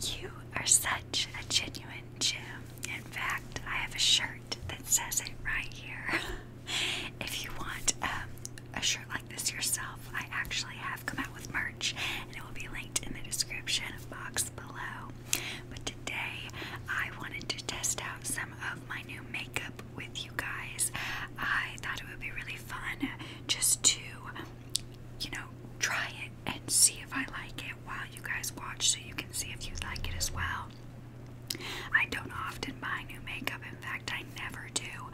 You are such a genuine gem. In fact, I have a shirt that says it right here. if you want um, a shirt like this yourself, I actually have come out with merch and it will be linked in the description box below. But today, I wanted to test out some of my new makeup with you guys. I thought it would be really fun just to, you know, try it and see if I like it while you guys watch so you can see if you like it as well. I don't often buy new makeup, in fact, I never do,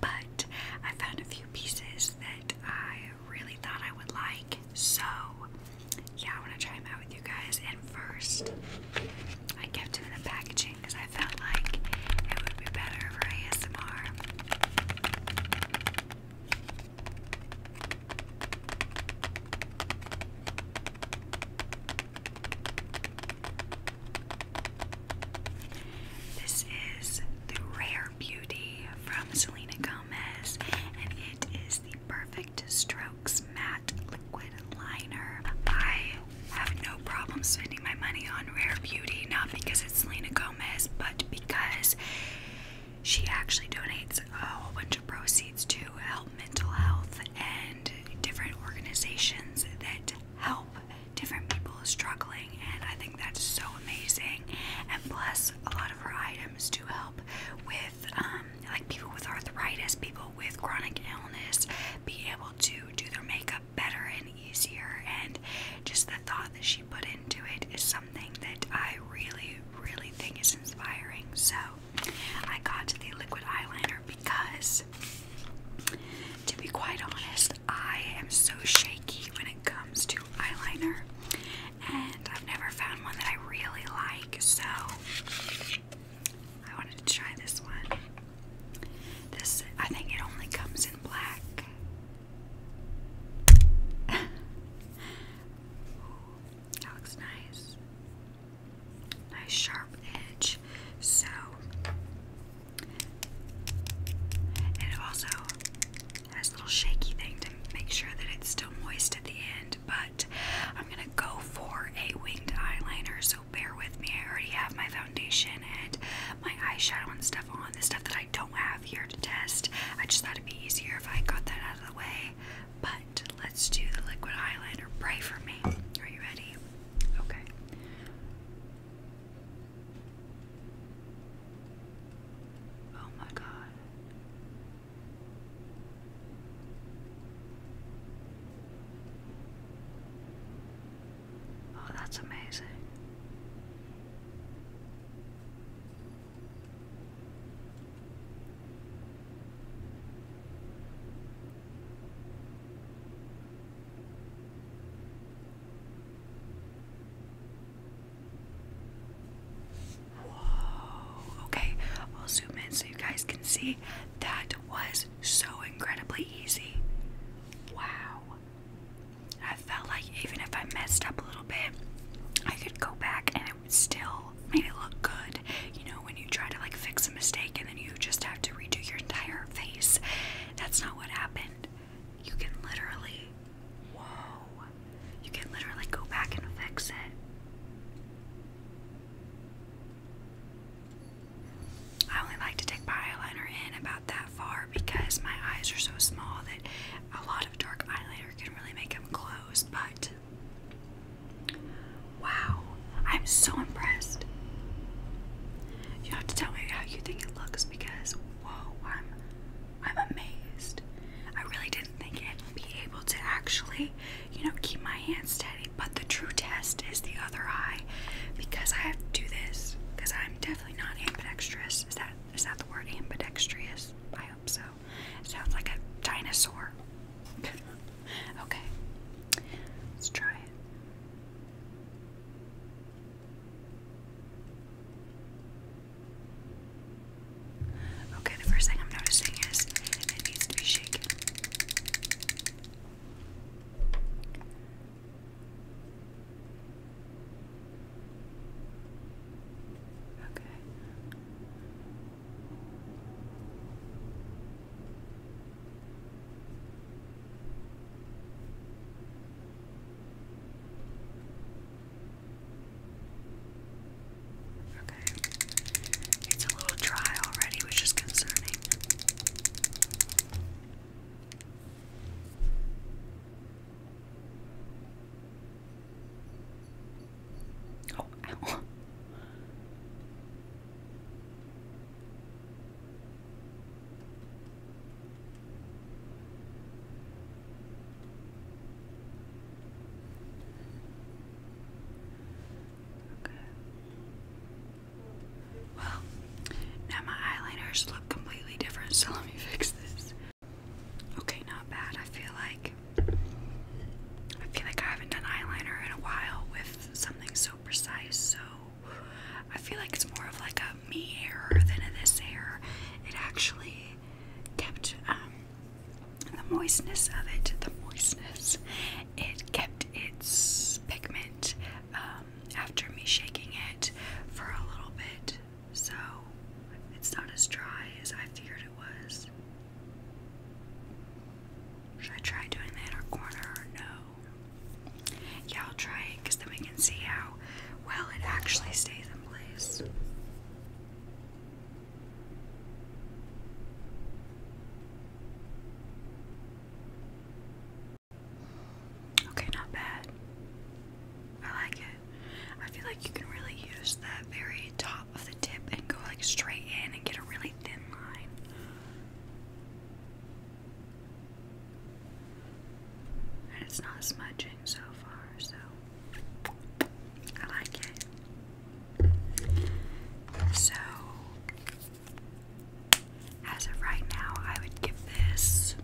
but I found a few pieces that I really thought I would like, so yeah, I want to try them out with you guys. And first, I kept them in the packaging because I felt like it would be better for ASMR. This is the Rare Beauty from Selena Gomez, and it is the Perfect Strokes Matte Liquid Liner. I have no problem spending my money on Rare Beauty, not because it's Selena Gomez, but because she actually donates a whole bunch of proceeds to help mental health and different organizations that help different people struggling. And I think that's so amazing. And plus, a lot of her items do help with um, like people with arthritis, people with chronic illness, be able to do their makeup better and easier. And just the thought that she put into it is something that I really, really think is inspiring. So I got the liquid eyeliner because, to be quite honest, I am so shaky when it comes to eyeliner, and I've never found one that I really like. So I wanted to try this one. This I think it only comes in black that looks nice. Nice sharp edge. So and it also has a little shaky thing to make sure that it's still moist at the end, but I'm gonna go for a winged eyeliner, so bear with me. I already have my foundation and my eyeshadow and stuff on, the stuff that I. I don't have here to test. I just thought it'd be easier if I got that out of the way. But let's do the liquid eyeliner. Pray for me. Are you ready? Okay. Oh my god. Oh, that's amazing. Okay, I'll zoom in so you guys can see. That was so incredibly easy. Wow. I felt like even if I messed up a little bit, I could go back and it would still make it look good. You know, when you try to like fix a mistake and then you just have to redo your entire face. That's not what happened. You can literally, whoa, you can literally go back and fix it. I only like to take my eyeliner in about that far because my eyes are so small that a lot of dark eyeliner can really make them close, but wow, I'm so impressed. You have to tell me how you think it looks because whoa, I'm I'm amazed. I really didn't think I'd be able to actually, you know, keep my hands steady. But the true test is the other eye because I have to do this because I'm definitely not ambidextrous. Is that is that the word ambidextrous? I hope so. Sounds like a dinosaur. okay. Let's try it. Okay, the first thing I'm noticing is it needs to be shaken. Okay. Okay. It's a little dry already, which is concerning. Oh, Well, now my eyeliners look completely different, so let me fix this. Okay, not bad. I feel like I feel like I haven't done eyeliner in a while with something so precise, so I feel like it's more of like a me error than a this error. It actually kept um, the moistness of it, the moistness, it kept its pigment um, after me shaking it for a little bit so it's not as dry as I feared it was. Should I try doing the inner corner no? Yeah, I'll try it because then we can see how well it actually stays in place. Okay, not bad. I like it. I feel like you can really use the very top of the tip and go like straight in and get a really thin line. And it's not smudging so far, so I like it. So, as of right now, I would give this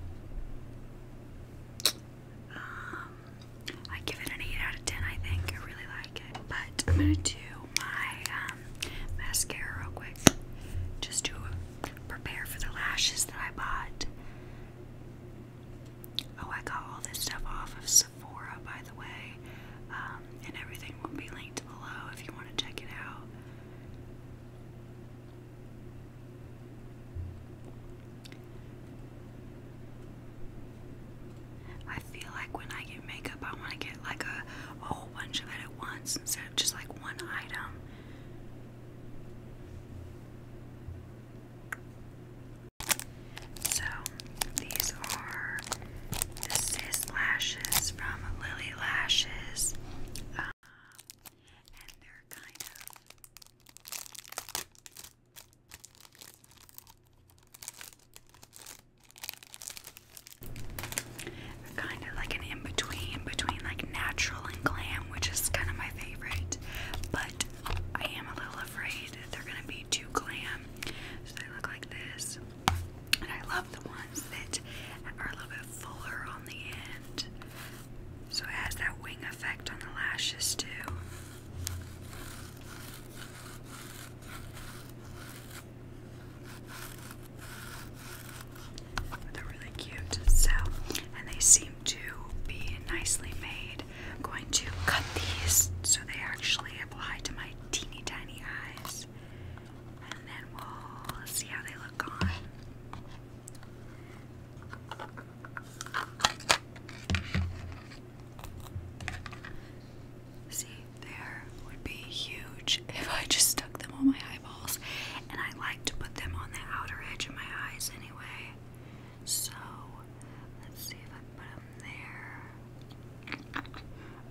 um, I give it an 8 out of 10, I think. I really like it. But I'm going to do my um, mascara real quick just to prepare for the lashes that I bought. Oh, I got all this stuff off of Sephora, by the way. Um, and everything will be linked below if you want to check it out. I feel like when I get makeup, I want to get like a, whole bunch of it at once instead of just like one item. So these are the Sis lashes from Lily Lashes, um, and they're kind of Kind of like an in between, between like natural and glam, which is kind of my favorite. But I am a little afraid they're gonna be too glam. So they look like this. And I love the ones that are a little bit fuller on the end. So it has that wing effect on the lashes too. Oh, they're really cute. So, and they seem to be nicely made. I'm going to cut these so they actually apply to my teeny tiny eyes. And then we'll see how they look on. See, there would be huge if I just stuck them on my eyeballs. And I like to put them on the outer edge of my eyes anyway. So, let's see if I put them there.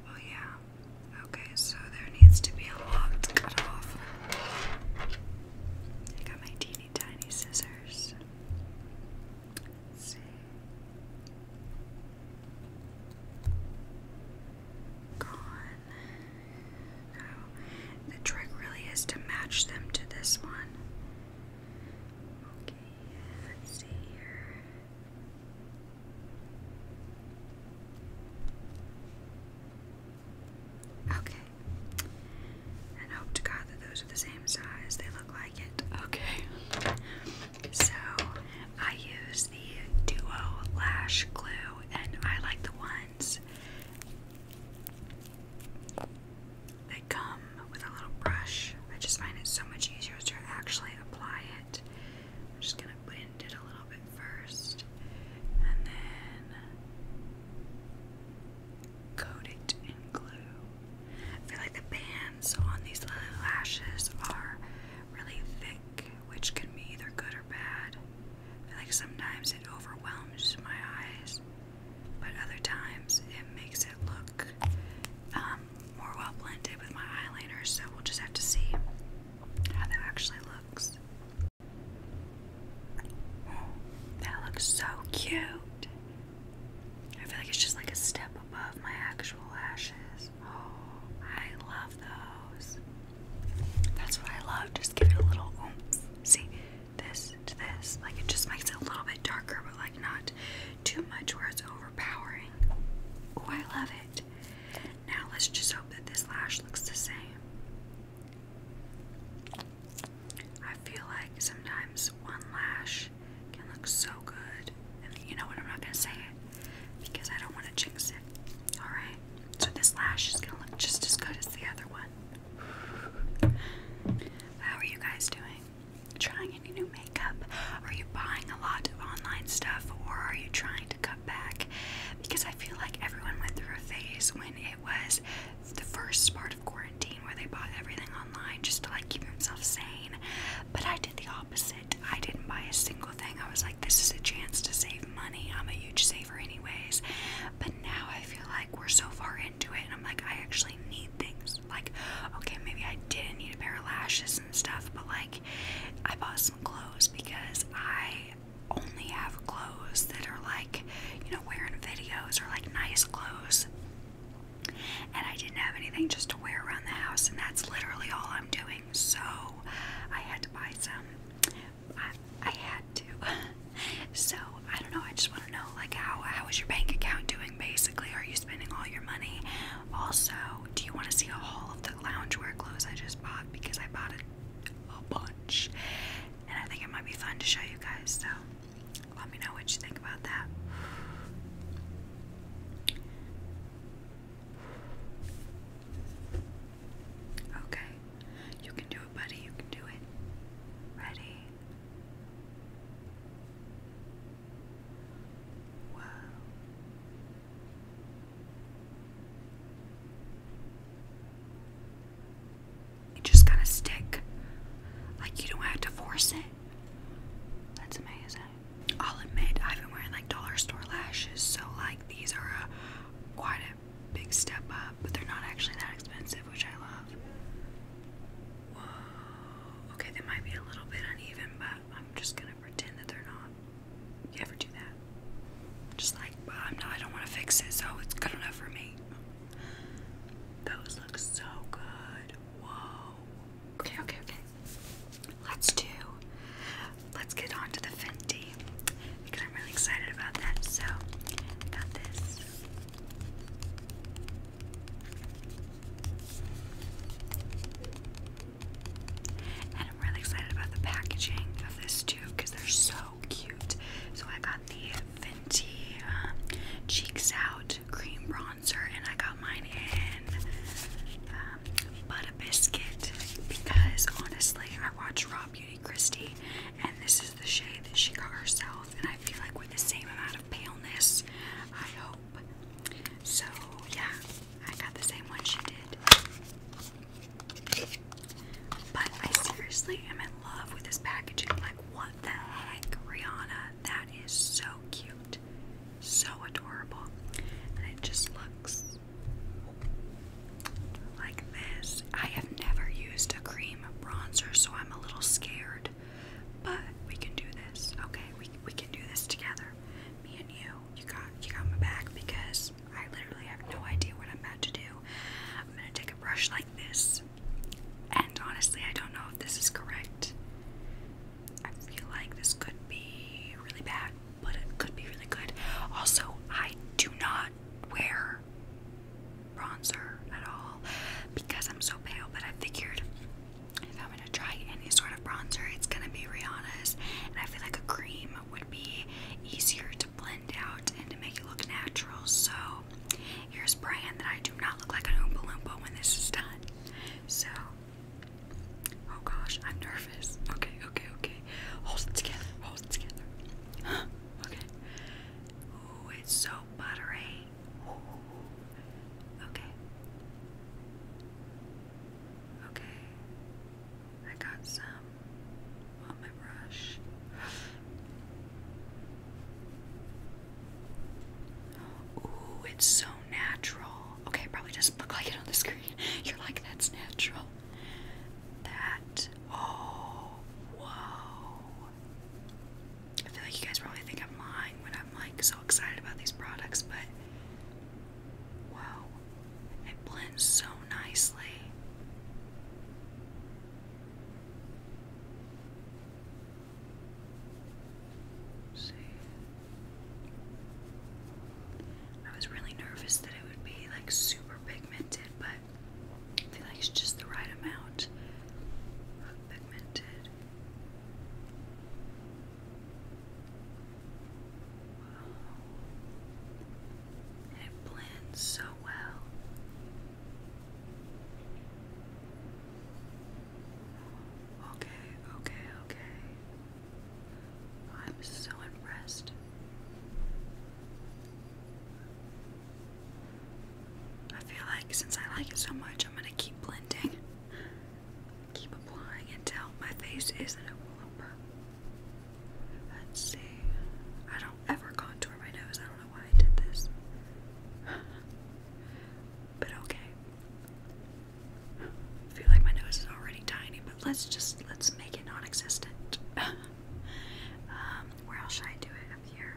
Oh, yeah. Okay, so there needs to be a lot cut off. I got my teeny tiny scissors see. Gone. No. The trick really is to match them to this one. Okay, let's see here. Okay, and hope to God that those are the same size. They look like it. Okay. So I use the Duo Lash Glue, and I like the ones that come with a little brush. I just find it so much easier to actually apply it. I'm just going to bend it a little bit first, and then coat it in glue. I feel like the bands on these little lashes are really thick, which can be either good or bad. I feel like sometimes it overwhelms my eyes, but other times it makes it look um, more well blended with my eyeliner, so we'll just have to see how that actually looks. Oh, that looks so cute. I feel like it's just like a step above my actual lashes. Oh, I love those. That's what I love. Just give it a little oomph. See, this to this. Like it just makes it a little bit darker, but like not too much where it's overpowering. Oh, I love it. Now let's just hope that this lash looks the same. I feel like sometimes one lash can look so good. And you know what? I'm not going to say it because I don't want to jinx it. Alright? So this lash is going to look just as good as the other one. How are you guys doing? Trying any new makeup? Are you buying a lot of online stuff or are you trying to cut back? Because I feel like everyone went through a phase when it was the first sparkle quarantine where they bought everything online just to like keep themselves sane. But I did the opposite. I didn't buy a single thing. I was like, this is a chance to save money. I'm a huge saver, anyways. But now I feel like we're so far into it, and I'm like, I actually need things. Like, okay, maybe I didn't need a pair of lashes and stuff, but like, I bought some clothes because I only have clothes that are like, you know, wearing videos or like nice clothes and I didn't have anything just to wear around the house, and that's literally all I'm doing. So I had to buy some. I, I had to. so I don't know. I just want to know, like, how how is your bank account doing? Basically, are you spending all your money? Also, do you want to see all of the loungewear clothes I just bought because I bought a, a bunch, and I think it might be fun to show you guys. So let me know what you think about that. Okay. You can do it, buddy. You can do it. Ready? Whoa. It just gotta stick. Like you don't have to force it. That's amazing. I'll admit I've been wearing like dollar store lashes, so like these are a, quite a big step up, but they're not actually that expensive, which I love. Whoa. Okay, they might be a little bit uneven, but I'm just gonna pretend that they're not. You ever do that? Just like, I'm not, I don't want to fix it, so it's good enough for me. Those look so good. Whoa. Okay, okay, okay. Let's do. Let's get on to the Fenty because I'm really excited about that. So, I got this. And I'm really excited about the packaging of this too because they're so cute. So I got the Fenty um, Cheeks Out Cream Bronzer and I got mine in um, Butter Biscuit because honestly, I watched Raw Beauty Christie and this is the shade that she got herself. And I feel like with the same amount of paleness, I hope. So, yeah, I got the same one she did. But I seriously am in love with this packaging. Like, what the heck, Rihanna? That is so so cute, so adorable, and it just looks like this. I have never used a cream bronzer, so I'm a little scared, but we can do this. Okay, we we can do this together, me and you. You got you got my back because I literally have no idea what I'm about to do. I'm gonna take a brush like this and honestly, I don't know if this is correct. I feel like this could be really bad, but it could be really good. Also, I do not wear bronzer at all because I'm so pale, but I figured if I'm gonna try any sort of bronzer, it's gonna be Rihanna's. And I feel like a cream would be easier to blend out and to make it look natural. So here's praying that I do not look like an Oompa Loompa when this is done. So, oh gosh, I'm nervous. Okay, okay, okay. Hold it together, hold it together. Huh, okay. Ooh, it's so buttery. Ooh. Okay. Okay. I got some on my brush. Ooh, it's so natural. Okay, probably doesn't look like it on the screen. You're like, that's natural. That. Oh, whoa. I feel like you guys probably think I'm lying when I'm like so excited about these products, but. Wow, it blends so nicely. I was really nervous that it would be like super pigmented, but I feel like it's just the right amount pigmented. it blends so well. Okay, okay, okay. I'm so impressed. I feel like since I like it so much, I'm going to keep blending, keep applying until my face isn't a lumber. Let's see. I don't ever contour my nose. I don't know why I did this. but okay feel like my nose is already tiny, but let's just let's make it non-existent. Um, where else should I do it? Up here.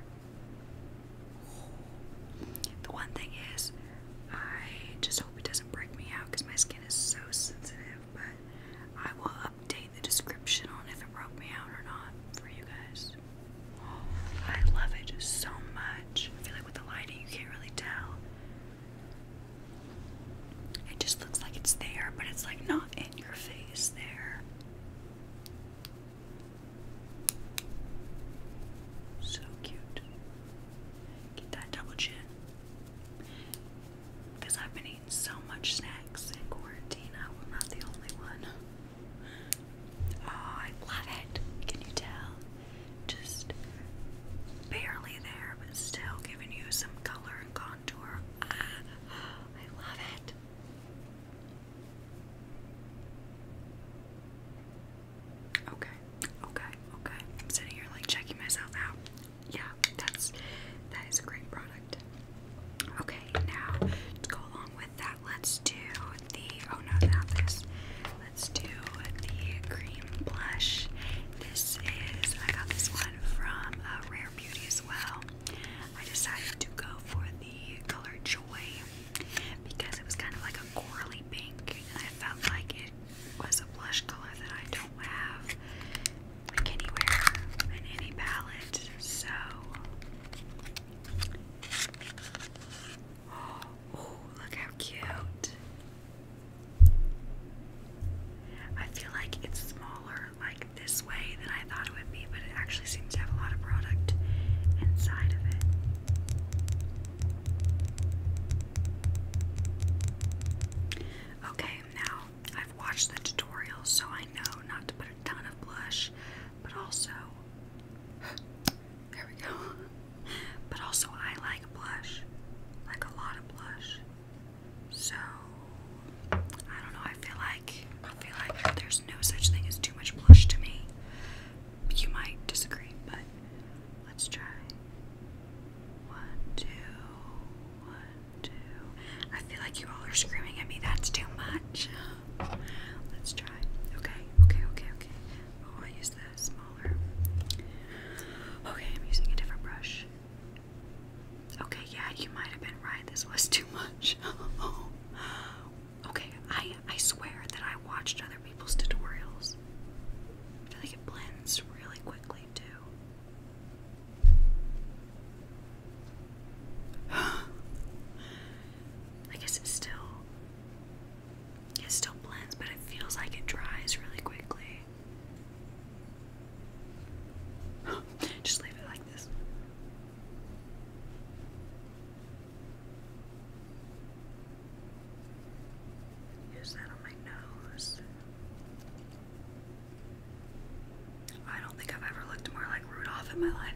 The one thing is, I just hope it doesn't break me out because my skin is so sensitive. But I will update the description on if it broke me out or not for you guys. I love it so much. I feel like with the lighting, you can't really tell. It just looks like it's there, but it's like not in your face there. So cute. Get that double chin. Because I've been eating so much snacks in quarantine, I am not the only one. Oh, I love it. Can you tell? Just barely there, but still giving you some color and contour. Ah, I love it. Okay, okay, okay. I'm sitting here like checking myself out. Yeah, that's that is a great product. Okay, now to go along with that, let's do the, oh no, not this. Let's do the cream blush. This is, I got this one from uh, Rare Beauty as well. I decided to go for the color Joy because it was kind of like a corally pink and I felt like it was a blush color that I don't have anywhere in any palette. So Oh, look how cute. I feel like it's smaller like this way than I thought it would be, but it actually seems to have a lot of product inside of it. Okay, now I've watched the tutorial, so I know not to put a ton of blush, but also there we go. But also, I like blush, like a lot of blush. So I don't know. I feel like I feel like there's no such thing as too much blush to me. You might disagree, but let's try. One, two, one, two. I feel like you all are screaming at me. That's too much. Let's try. Okay, okay, okay, okay. Oh, I used smaller. Okay, I'm using a different brush. Okay, yeah, you might have been right. This was too much. okay, I I swear that I watched other people's tutorials. I feel like it blends really quickly too. I guess it's still it still blends, but it feels like it dries really quickly. Just leave it like this. Use that on my nose. I don't think I've ever looked more like Rudolph in my life.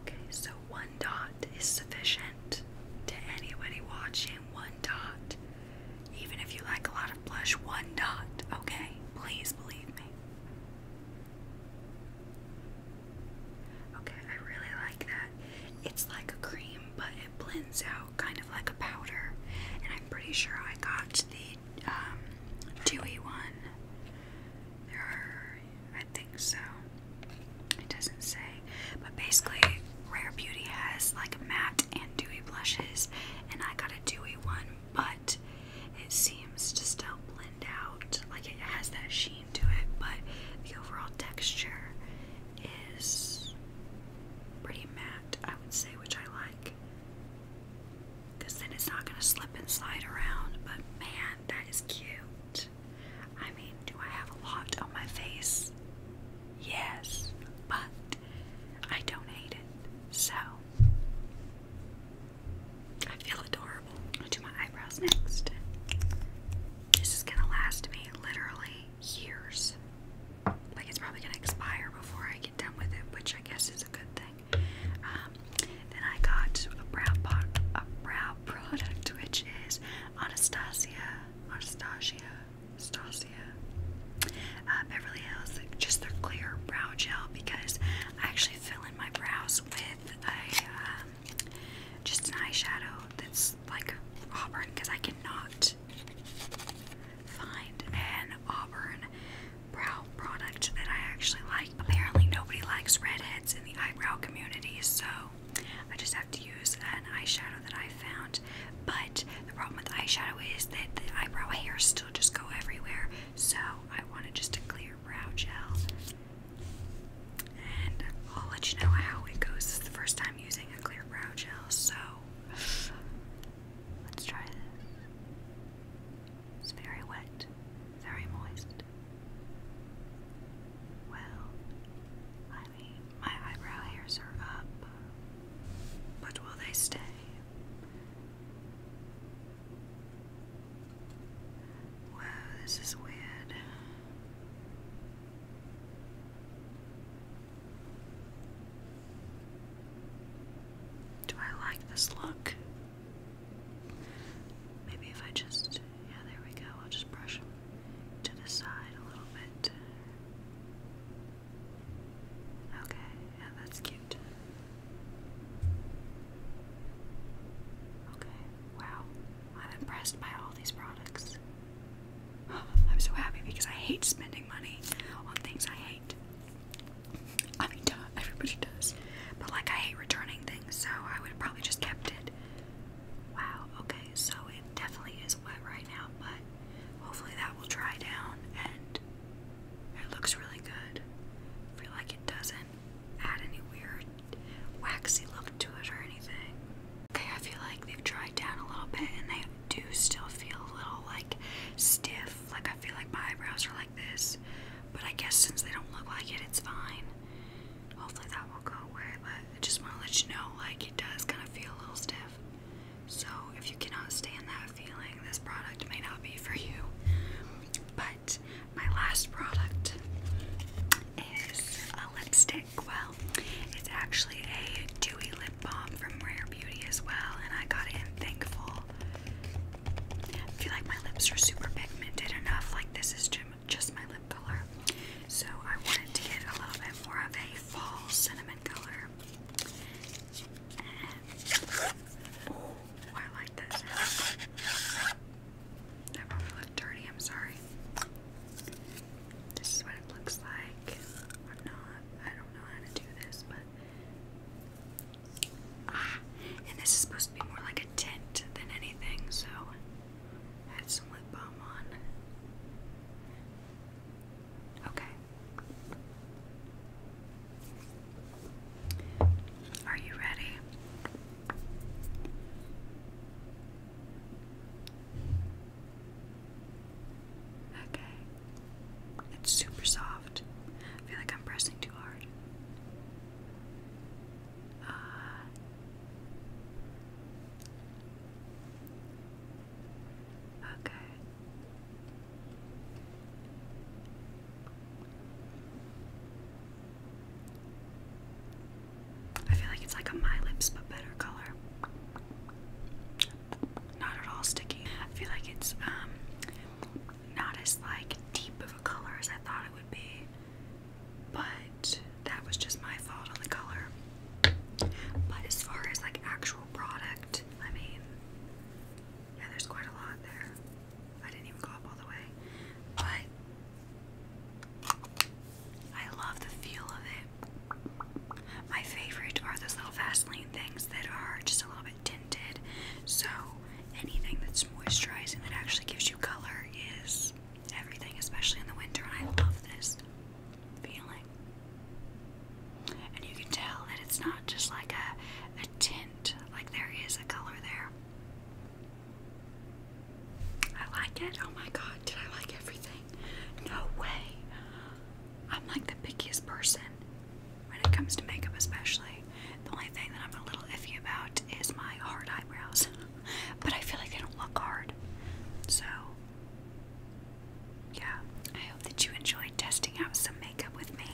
Okay, so one dot is sufficient to anybody watching. One dot. Even if you like a lot of blush, one dot. Okay, please believe me. Okay, I really like that. It's like a cream, but it blends out kind of like a powder. And I'm pretty sure I got the um, dewy one. There I think so. It doesn't say. But basically, Rare Beauty has like matte and dewy blushes, and I got a dewy one, but it seems to still blend out. Like it has that sheen to it, but the overall texture is pretty matte, I would say, which I like. Because then it's not going to slip and slide around, but man, that is cute. I mean, do I have a lot on my face? Yes, but I don't hate it, so I feel adorable. do my eyebrows next. This is gonna last me literally years. Like, it's probably gonna expire before I get done with it, which I guess is a good thing. Um, then I got a brow product, which is Anastasia, Anastasia, Anastasia, uh, Beverly Hills, just their clear brow gel because I actually fill in my brows with a um, just an eyeshadow that's like auburn because I cannot find an auburn brow product that I actually like. Apparently, nobody likes redheads in the eyebrow community, so I just have to use an eyeshadow that I found. But the problem with eyeshadow is that the eyebrow hairs still just go everywhere. So I wanted just a clear brow gel. And I'll let you know how it goes. This the first time using a clear brow gel, so let's try this. It's very wet, very moist. Well, I mean, my eyebrow hairs are up, but will they stay? Wow, this is weird. Do I like this look? Maybe if I just, yeah, there we go, I'll just brush them to the side a little bit. Okay, yeah, that's cute. Okay, wow. I'm impressed by all these products. I'm so happy because I hate spending money on things I hate. I mean, everybody does. But like, I hate returning things, so I would probably just kept it. Wow, okay, so it definitely is wet right now, but hopefully that will dry down and it looks really good. I feel like it doesn't add any weird waxy look to it or anything. Okay, I feel like they've dried down a little bit and they do still feel a little like stiff. Like I feel like my eyebrows are like this, but I guess since they don't look like it, it's fine hopefully that will go away, but I just want to let you know like it does kind of feel a little stiff. So if you cannot stand that feeling, this product may not be for you. But my last product is a lipstick. Well, it's actually a dewy lip balm from Rare Beauty as well, and I got it in Thankful. I feel like my lips are super pigmented enough, like this is to just my lip color. So I wanted to get a little bit more of a fall cinnamon color. And, I like that That probably looked dirty, I'm sorry. This is what it looks like. I'm not, I don't know how to do this, but. Ah, and this is supposed to be more like a tint than anything, so had some lip balm on. Okay. Are you ready? Okay. It's super soft. I feel like I'm pressing too hard okay. I feel like it's like a My Lips but better color. Not at all sticky. I feel like it's um not as like deep of a color as I thought it would be. But that was just my fault on the color. But as far as like actual product, I mean, yeah, there's quite a lot there. I didn't even go up all the way. But I love the feel of it. My favorite are those little Vaseline things that are just a little bit tinted. So anything that's moisturizing that actually gives you color is everything, especially in the winter, and I love this feeling. And you can tell that it's not just like a, a tint, like there is a color there. I like it. Oh my god, did I like everything? No way. I'm like the pickiest person when it comes to makeup, especially. The only thing that I'm a little iffy about is my hard eyebrows. but I feel like they don't look hard. So, yeah, I hope that you enjoyed testing out some makeup with me.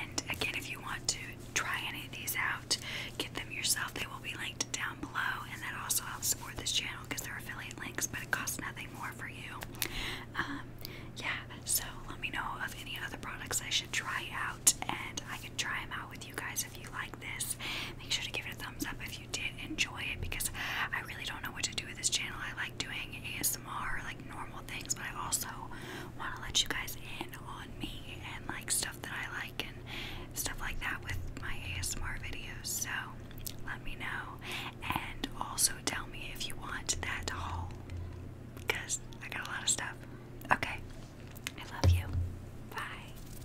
And again, if you want to try any of these out, get them yourself. They will be linked down below, and that also helps support this channel because they're affiliate links, but it costs nothing more for you. Um, yeah, so let me know of any other products I should try out, and I can try them out with you guys if you like this. Make sure to give it a thumbs up if you did enjoy it because I really don't know what to do with this channel. I like doing ASMR, like normal things, but I also want to let you guys in on me and like stuff that I like and stuff like that with my ASMR videos. So let me know and also tell me if you want that haul because I got a lot of stuff. Okay. I love you. Bye.